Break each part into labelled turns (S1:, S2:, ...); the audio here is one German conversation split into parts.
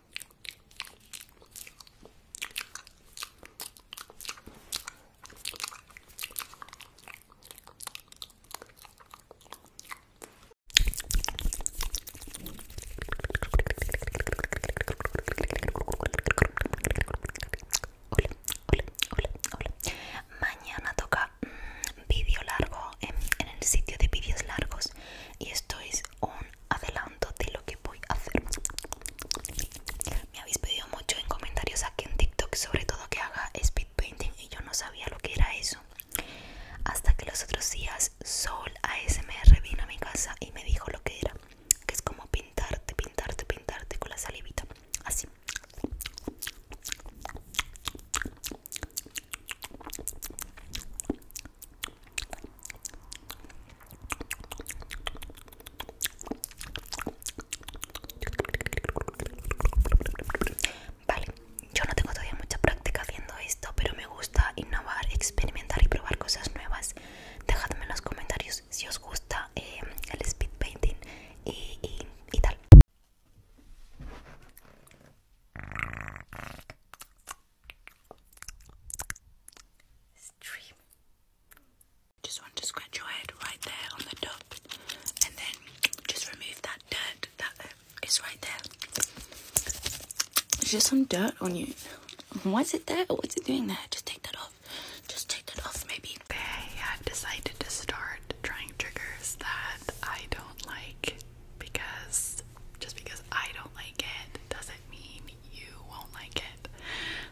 S1: Hola, hola, hola, hola. Mañana toca mm, vídeo largo en, el sitio de vídeos largos y esto un adelanto de lo que voy a hacer. Me habéis pedido mucho en comentarios aquí en TikTok, sobre todo que haga speed painting y yo no sabía lo que era eso. Hasta que los otros días Sol ASMR vino a mi casa y me dijo lo que era, que es como pintarte, pintarte, pintarte con la salivita, así. Vale, yo no tengo todavía mucha práctica haciendo esto, pero me gusta innovar, experimentar y probar cosas nuevas. Dejadme en los comentarios si os gusta eh, el speed painting y, y tal. Stream. Just want to scratch your head right there on the top, and then just remove that dirt that is right there. There's just some dirt on you. Why is it there? What's it doing there? Just take that off. Just take that off, maybe. Okay, I've decided to start trying triggers that I don't like because just because I don't like it doesn't mean you won't like it.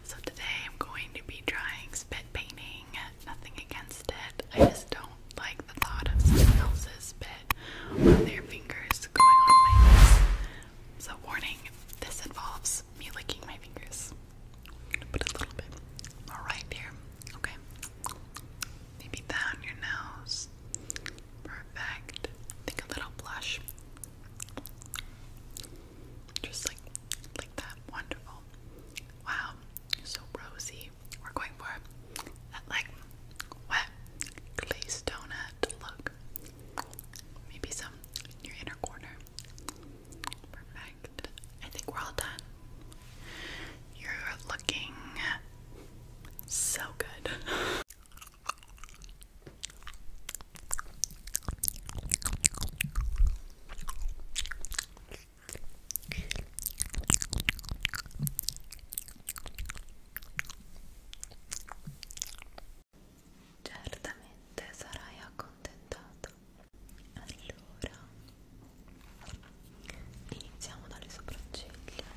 S1: So today I'm going to be trying spit painting. Nothing against it. I just don't like the thought of someone else's spit on their fingers going on my hands. So warning, this involves me licking my fingers. But a little bit. Alright here. Okay maybe down your nose. Perfect. Think a little blush. Just like like that. Wonderful. Wow. so rosy. We're going for that like wet glazed donut look. Maybe some in your inner corner. Perfect. I think we're all done. You're looking so good. Certamente sarai accontentato. Allora, iniziamo dalle sopracciglia.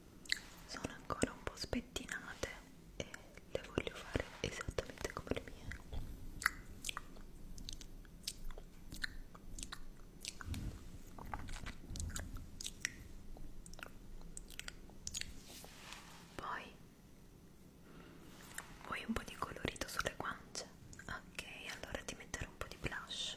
S1: sono ancora un po' spettinate e le voglio fare esattamente come le mie poi vuoi un po' di colorito sulle guance? ok allora ti metterò un po' di blush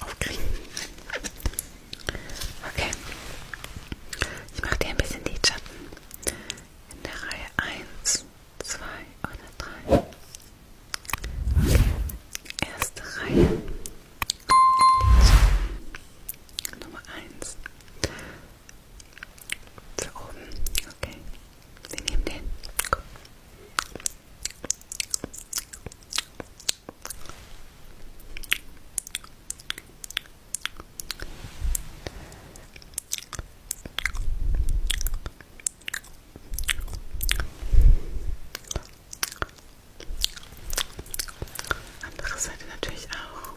S1: aufkriegen. Okay. Ich mache dir ein bisschen die Schatten in der Reihe 1, 2 oder 3. Okay. Erste Reihe. Lidschatten. Nummer 1. Für oben. Okay. Wir nehmen den. Gut. Andere Seite natürlich auch. Okay.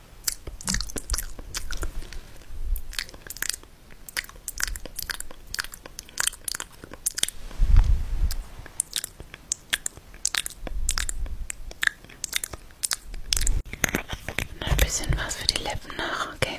S1: Mal ein bisschen was für die Lippen nach, okay?